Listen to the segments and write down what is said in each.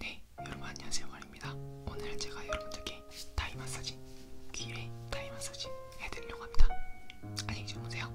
네, 여러분 안녕하세요 말입니다. 오늘 제가 여러분들께 다이 마사지, 귀에 다이 마사지 해드리려고 합니다. 안녕히 주무세요.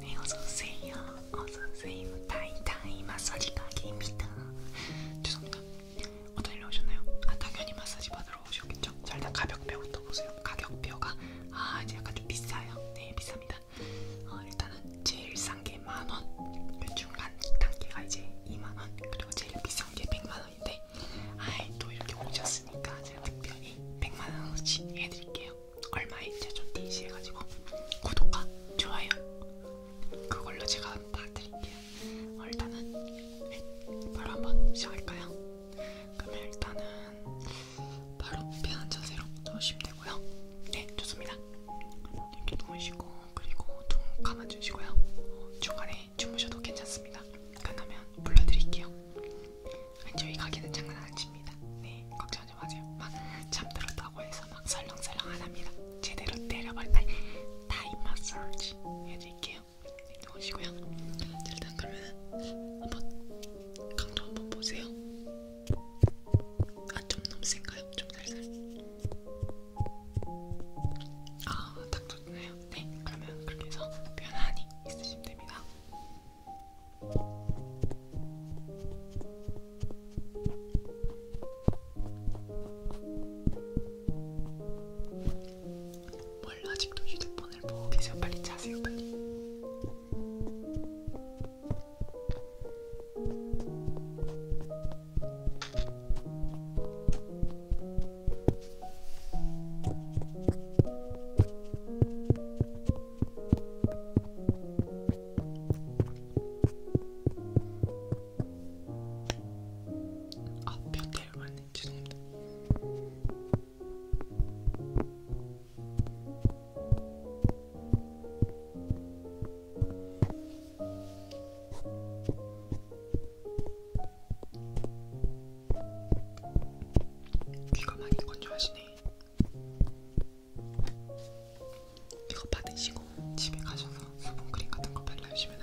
네, 어서오세요. 어서오세요. 다이 다이 마사지 가게입니다. 죄송합니다. 어떤 일로 오셨나요? 아, 당연히 마사지 받으러 오셨겠죠? 자, 일단 가격표부터 보세요. 가격표가 아, 이제 약간 좀 비싸요. 네, 비쌉니다. 어, 일단은 제일 싼게 만원, 그 중간 단계가 이제 2만원, 그리고 제일 비싼게 100만원인데 아이 또 이렇게 오셨으니까 제가 특별히 100만원어치 해드릴게요. 얼마에 제좀 대시해가지고 구독과 좋아요 그걸로 제가 다 드릴게요. 어, 일단은 네, 바로 한번 시작할까요? 그러면 일단은 바로 편한 자세로 누우시면 되고요. 네 좋습니다. 이렇게 누우시고 그리고 눈 감아주시고요. 어, 중간에 주무셔도 괜찮습니다. 끝나면 불러드릴게요. 아니, 저희 가게는 장난 안 칩니다. 네, 걱정하지 마세요. 막 잠들었다고 해서 막 설렁설렁 안 합니다. 제대로 때려버리... 아니, 타임 마사지 해드릴게요. 네, 누우시고요. 일단 그러면 한번 강도 한번 보세요. 아 좀 너무 센가요? 좀 살살. 아, 딱 좋네요. 네, 그러면 그렇게 해서 편안히 있으시면 됩니다. 뭘 아직도 휴대폰을 보고 계세요? 빨리 자세요, 빨리. 아, 몇 대를 맞네. 죄송합니다. 귀가 많이 건조하시네. 이거 받으시고 집에 가셔서 수분크림 같은 거 발라주시면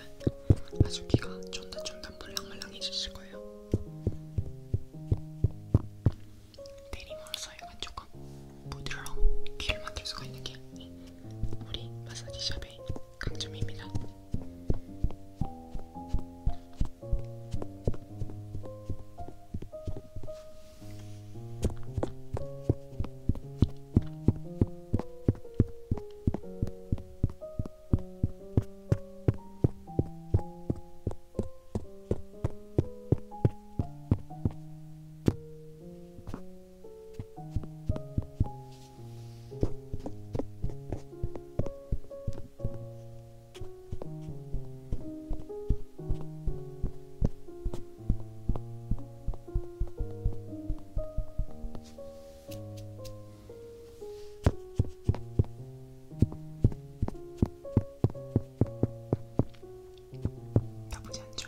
아주 귀가 쫀득쫀득 말랑말랑해지실 거예요. 대리모로서 약간 조금 부드러운 귀를 만들 수가 있는 게 우리 마사지샵의 강점입니다. 나쁘지 않네.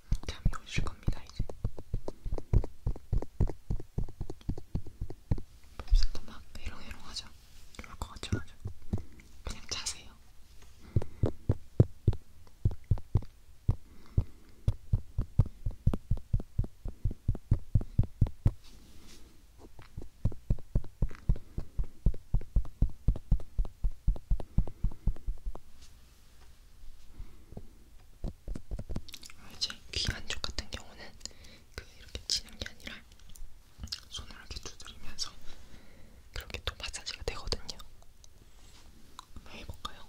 잠이 오실 겁니다, 이제. 벌써도 막 해롱해롱하죠? 그럴 것 같죠, 맞죠? 그냥 자세요. 아, 이제 귀 안쪽 같은 경우는 그 이렇게 치는 게 아니라 손을 이렇게 두드리면서 그렇게 또 마사지가 되거든요. 한번 해볼까요?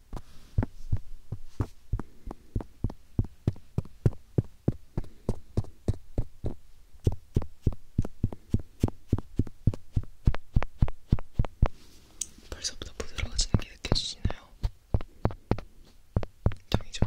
벌써부터 부드러워지는 게 느껴지시나요? 짱이죠?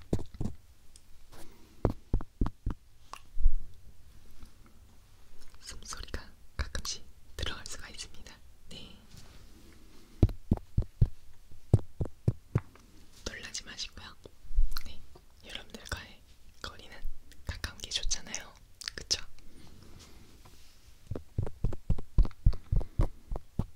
숨소리가 가끔씩 들어갈 수가 있습니다. 네. 놀라지 마시고요. 네. 여러분들과의 거리는 가까운 게 좋잖아요. 그쵸?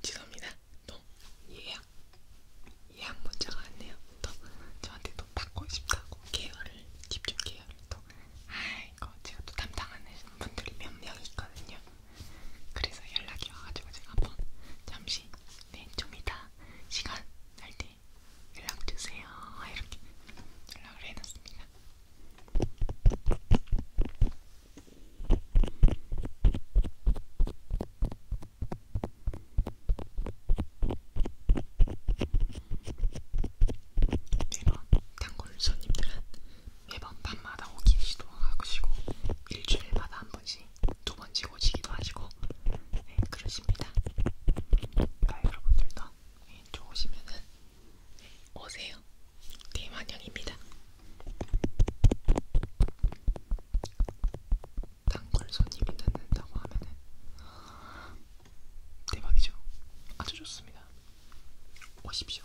죄송합니다. 또 예약 예약 문자가 왔네요. 또 저한테 또 받고 싶다고 계열을 집중 계열을 또 아이고 제가 또 담당하는 분들이 몇 명 있거든요. 그래서 연락이 와가지고 제가 한번 잠시 네좀 이따 시간 날 때 연락 주세요 이렇게 연락을 해놨습니다. 매번 단골 손님들은 매번 밤마다 오기 시도하시고 일주일마다 한 번씩 두 번씩 오시기도 하시고 네 그러십니다. 그러니까 여러분들도 네, 좋으시면은 오세요. 게임 환영입니다. 단골 손님이 듣는다고 하면은 대박이죠. 아주 좋습니다. 오십시오.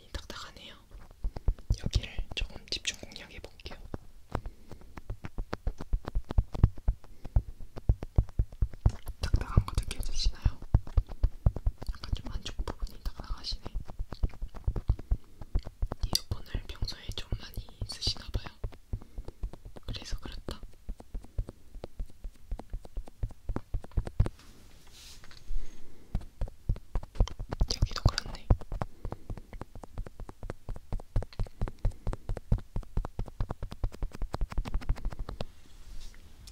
많이 딱딱하네요. 여기를 조금 집중 공략해 볼게요. 딱딱한 거 느껴지시나요? 약간 좀 안쪽 부분이 딱딱하시네. 이어폰을 평소에 좀 많이 쓰시나봐요. 그래서 그렇다. 여기도 그렇네.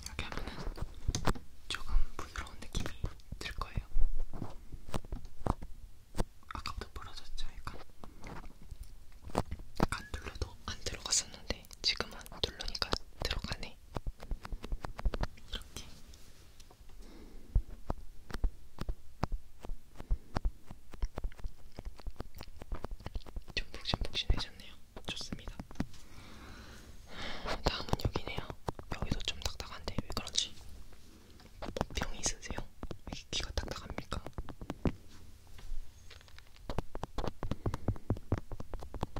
이렇게 하면은 조금 부드러운 느낌이 들 거예요. 아까부터 부러졌죠, 약간. 안 눌러도 안 들어갔었는데 지금은 눌러니까 들어가네. 이렇게 이렇게 좀 폭신폭신해졌네요. 좋습니다. 다음은 여기네요. 여기도 좀 딱딱한데 왜 그런지 병이 있으세요? 왜 귀가 딱딱합니까?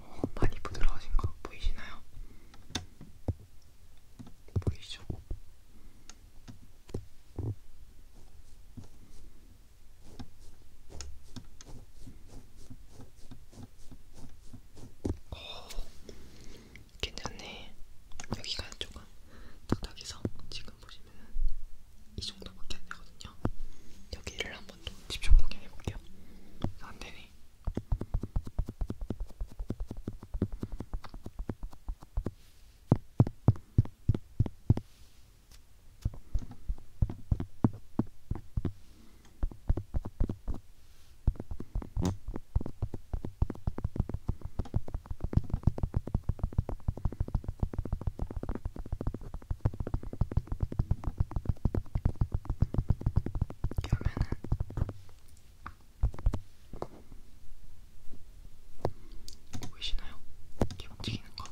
어, 많이 부드러워진 거 보이시나요? 보이시죠? 어, 괜찮네. 여기가 조금 딱딱해서 지금 보시면은 이 정도밖에 안 되거든요. 여기를 한번 더 집중 공략해 볼게요. 안 되네. 아, 여면은 보이시나요? 이렇게 움직이는 거.